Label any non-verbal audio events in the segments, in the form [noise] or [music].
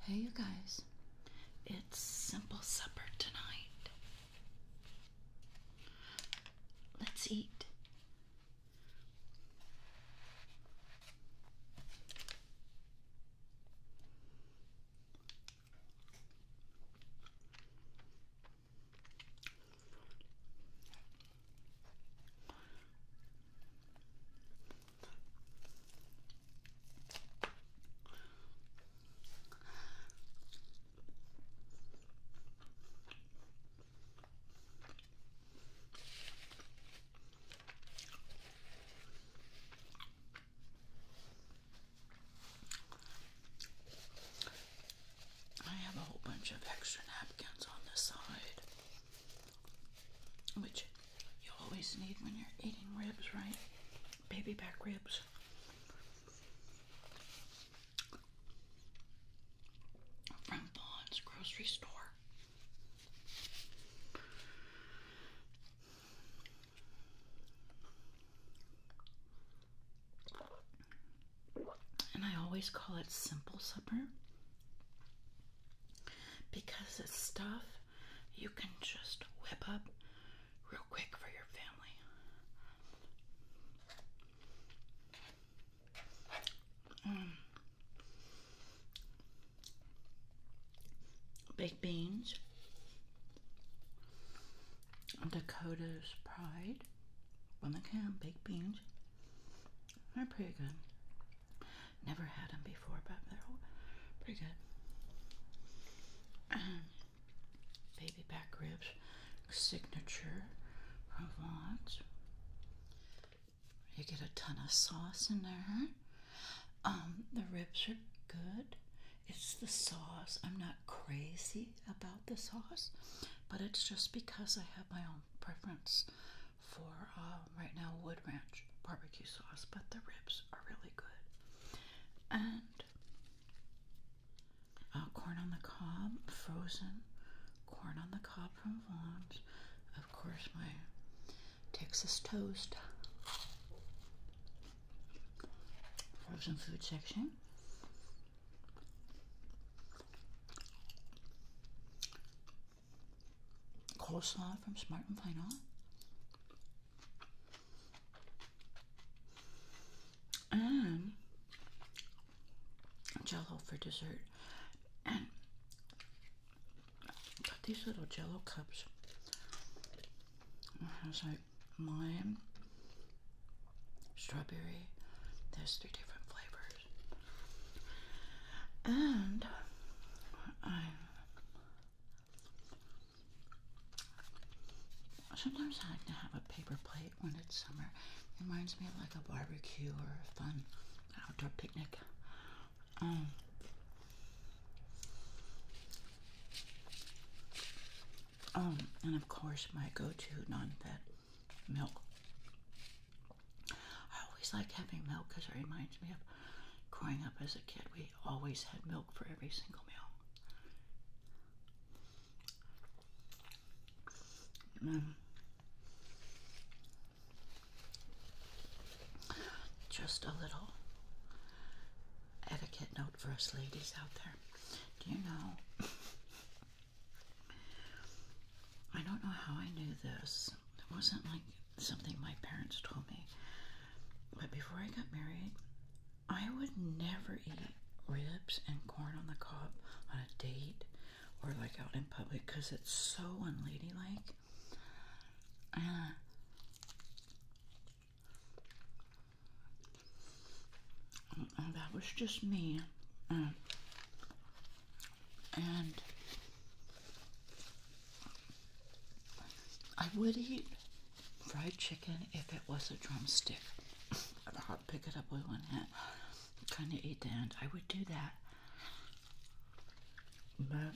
Hey, you guys, it's simple supper tonight. Let's eat. I have a whole bunch of extra napkins on the side which you always need when you're eating ribs, right? Baby back ribs. From Vaughn's grocery store. And I always call it simple supper because it's stuff you can just whip up real quick for your family. Um, baked beans, Dakota's pride, on the can, baked beans. They're pretty good. Never had them before, but they're pretty good. Um, baby back ribs, signature, Provence. You get a ton of sauce in there. Um, the ribs are good. It's the sauce. I'm not crazy about the sauce, but it's just because I have my own preference for uh, right now Wood Ranch barbecue sauce, but the ribs are really good. And uh, corn on the cob, frozen corn on the cob from Vons. Of course, my Texas toast. Frozen food section coleslaw from Smart and Final. And um, jello for dessert. got these little jello cups. It has like lime, strawberry. There's three different flavors. And I sometimes I like to have a paper plate when it's summer. It reminds me of like a barbecue or a fun outdoor picnic. Um, um, and of course my go-to non-fat milk I always like having milk because it reminds me of growing up as a kid. We always had milk for every single meal. Mm. Just a little etiquette note for us ladies out there. Do you know? [laughs] I don't know how I knew this. It wasn't like something my parents told me. But before I got married, I would never eat ribs and corn on the cob on a date or like out in public because it's so unladylike. Uh, that was just me. Uh, and I would eat fried chicken if it was a drumstick. I'd pick it up with one hand, kind of eat the end. I would do that, but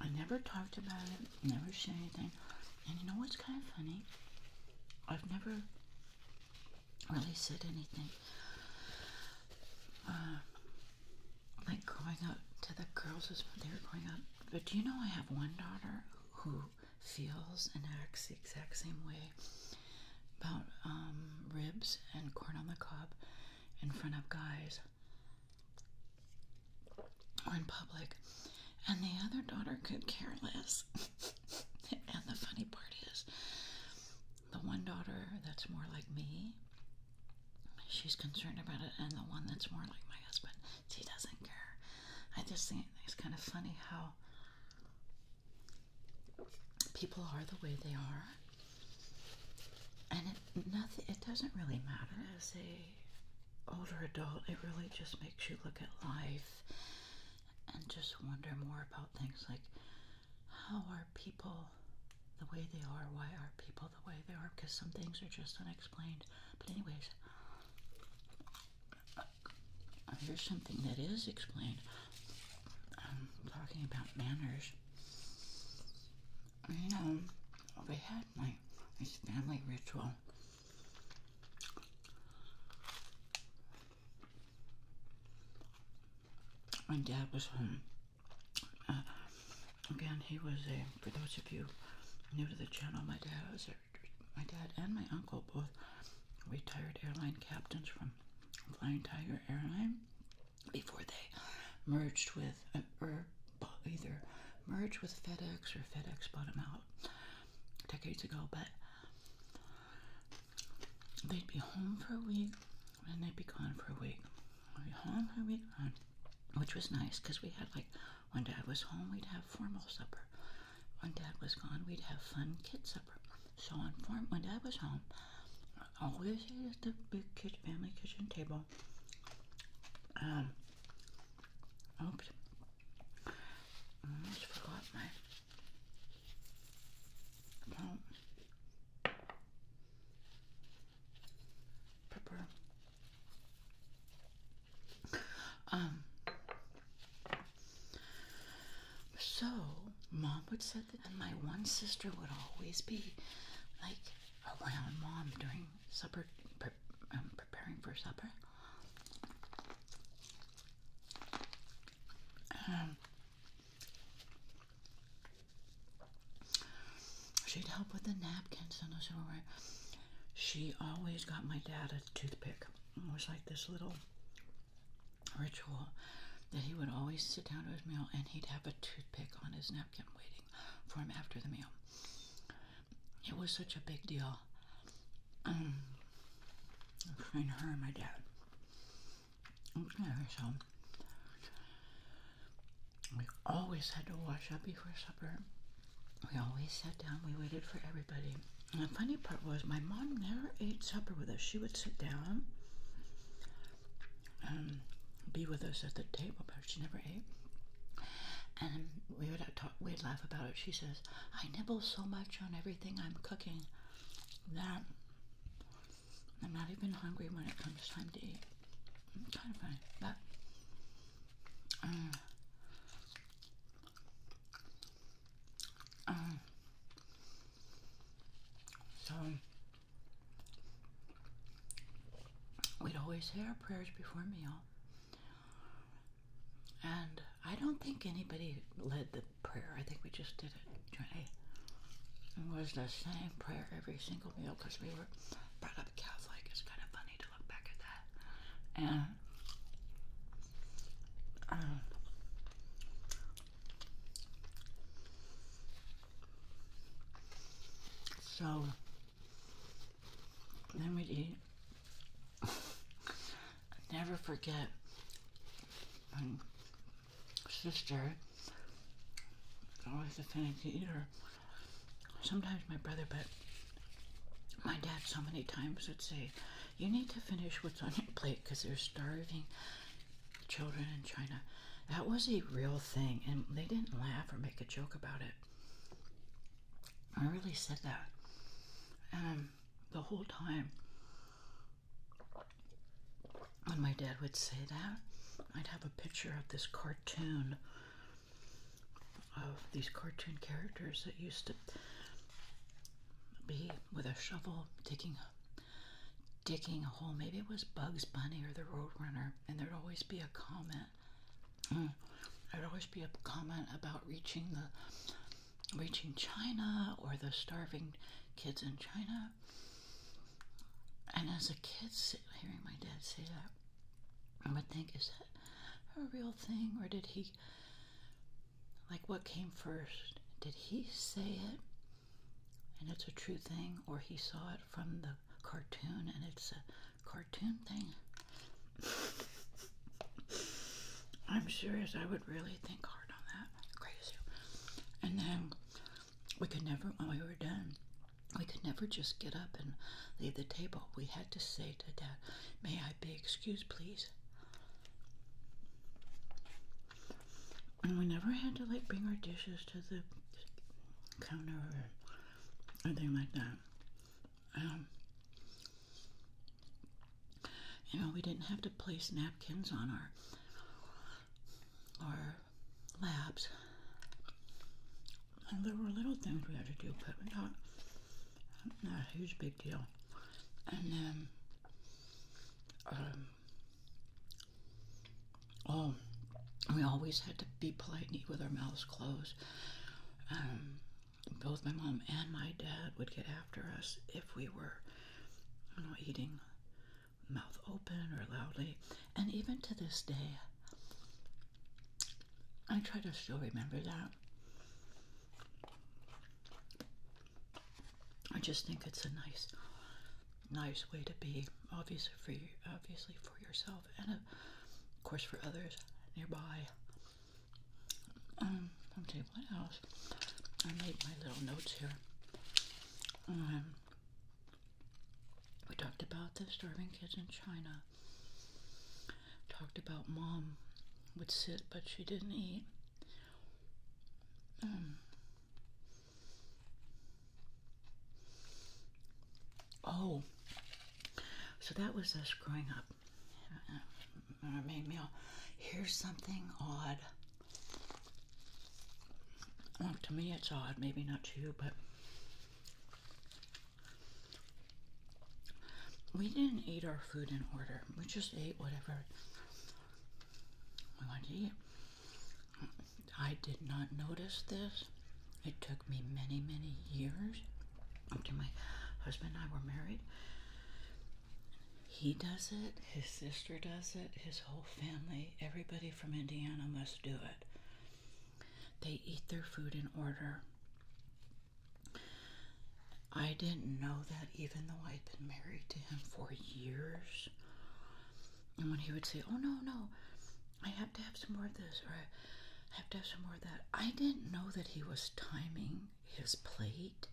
I never talked about it, never said anything. And you know what's kind of funny? I've never really said anything. Uh, like growing up to the girls was they were growing up. But do you know I have one daughter who feels and acts the exact same way about um, ribs and corn on the cob in front of guys or in public. And the other daughter could care less. [laughs] and the funny part is, the one daughter that's more like me she's concerned about it, and the one that's more like my husband, he doesn't care. I just think it's kind of funny how people are the way they are, and nothing. It doesn't really matter as a older adult. It really just makes you look at life and just wonder more about things like how are people the way they are. Why are people the way they are? Because some things are just unexplained. But, anyways, here's something that is explained. I'm talking about manners. You know, we had my this family ritual. My dad was home uh, again, he was a. For those of you new to the channel, my dad was my dad and my uncle both retired airline captains from Flying Tiger Airline before they merged with uh, or either merged with FedEx or FedEx bought them out decades ago. But they'd be home for a week, and they'd be gone for a week. home for a week, which was nice because we had like when dad was home, we'd have formal supper. When dad was gone, we'd have fun kid supper. So on form, when dad was home, I always ate at the big kid, family kitchen table. Um, oops, I forgot my pepper. Um, so mom would set the, and my one sister would always be like around mom during supper, pre um, preparing for supper. Um, She'd help with the napkins and those were She always got my dad a toothpick. It was like this little ritual that he would always sit down to his meal and he'd have a toothpick on his napkin waiting for him after the meal. It was such a big deal um, [clears throat] between her and my dad. Okay, so we always had to wash up before supper. We always sat down. We waited for everybody. And the funny part was, my mom never ate supper with us. She would sit down and um, be with us at the table, but she never ate. And we would talk, we'd laugh about it. She says, "I nibble so much on everything I'm cooking that I'm not even hungry when it comes time to eat." kind of funny, but um, uh, um, uh, so we'd always say our prayers before meal, and I don't think anybody led the prayer. I think we just did it. It was the same prayer every single meal because we were brought up Catholic. It's kind of funny to look back at that. And um, so then we'd eat. [laughs] never forget my sister it's always a fancy eater. Sometimes my brother, but my dad so many times would say, you need to finish what's on your plate because they're starving children in China. That was a real thing, and they didn't laugh or make a joke about it. I really said that. Um, the whole time when my dad would say that, I'd have a picture of this cartoon of these cartoon characters that used to be with a shovel digging digging a hole. Maybe it was Bugs Bunny or the Roadrunner, and there'd always be a comment. Mm, there'd always be a comment about reaching the reaching China or the starving kids in China. And as a kid, hearing my dad say that I would think, is that a real thing or did he, like, what came first? Did he say it and it's a true thing or he saw it from the cartoon and it's a cartoon thing? I'm serious, I would really think hard on that. Crazy. And then we could never, when we were done, we could never just get up and leave the table. We had to say to Dad, May I be excused, please? And we never had to like bring our dishes to the counter or anything like that. Um, you know, we didn't have to place napkins on our or laps. there were little things we had to do, but not, not a huge big deal. And um, um, oh, we always had to be polite and eat with our mouths closed. Um, both my mom and my dad would get after us if we were you know, eating mouth open or loudly. And even to this day, I try to still remember that. I just think it's a nice, nice way to be, obviously for you, obviously for yourself, and of course for others nearby. Um, I'm saying what else? I made my little notes here. Um, we talked about the starving kids in China. Talked about mom would sit, but she didn't eat. Um, oh, so that was us growing up. Our uh, uh, main meal. Here's something odd. to me, it's odd. Maybe not to you, but we didn't eat our food in order. We just ate whatever we wanted to eat. I did not notice this. It took me many, many years after my husband and I were married. He does it, his sister does it, his whole family, everybody from Indiana must do it. They eat their food in order. I didn't know that even though I'd been married to him for years. And when he would say, Oh, no, no, I have to have some more of this, or I have to have some more of that, I didn't know that he was timing his plate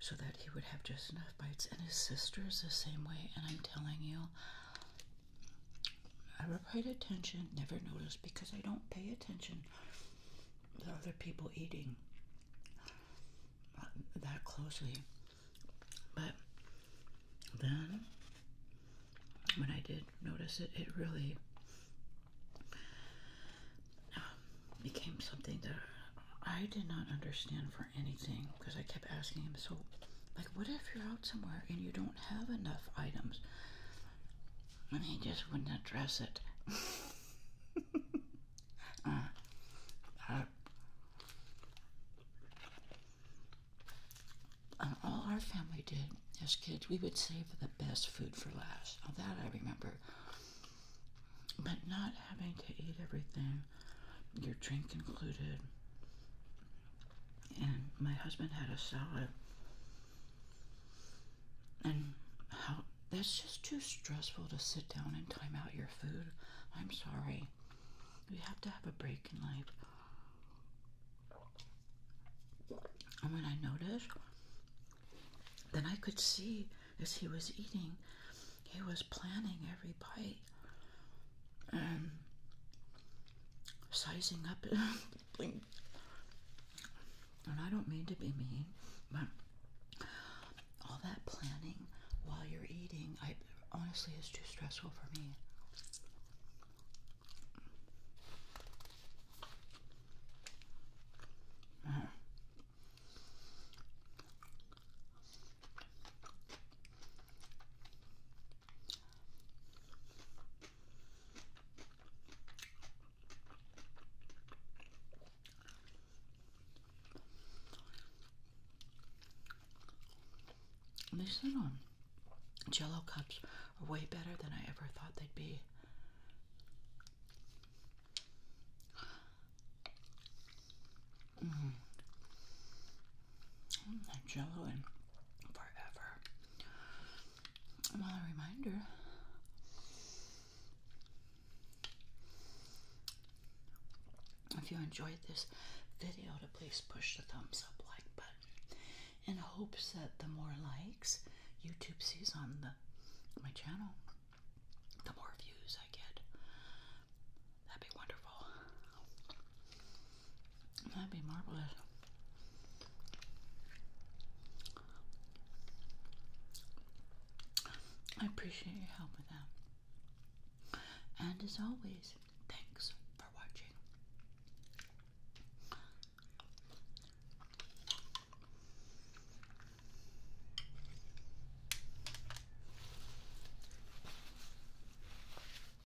so that he would have just enough bites. And his sister is the same way. And I'm telling you, I Never paid attention, never noticed because I don't pay attention to other people eating that closely. But then when I did notice it, it really um, became something that I did not understand for anything because I kept asking him, so, like, what if you're somewhere and you don't have enough items, and he just wouldn't address it. [laughs] Uh, uh, uh, all our family did as kids, we would save the best food for last. Now that I remember. But not having to eat everything, your drink included, and my husband had a salad. And that's just too stressful to sit down and time out your food. I'm sorry. You have to have a break in life. And when I noticed, then I could see as he was eating, he was planning every bite sizing up. [laughs] and I don't mean to be mean, but all that planning while you're eating, I honestly is too stressful for me. These little um, jello cups are way better than I ever thought they'd be. Mm-hmm. Mm, that jello in forever. Well, a reminder if you enjoyed this video to please push the thumbs up like button in hopes that the more likes YouTube sees on the my channel, the more views I get. That'd be wonderful. That'd be marvelous. I appreciate your help with that. And as always, thanks for watching.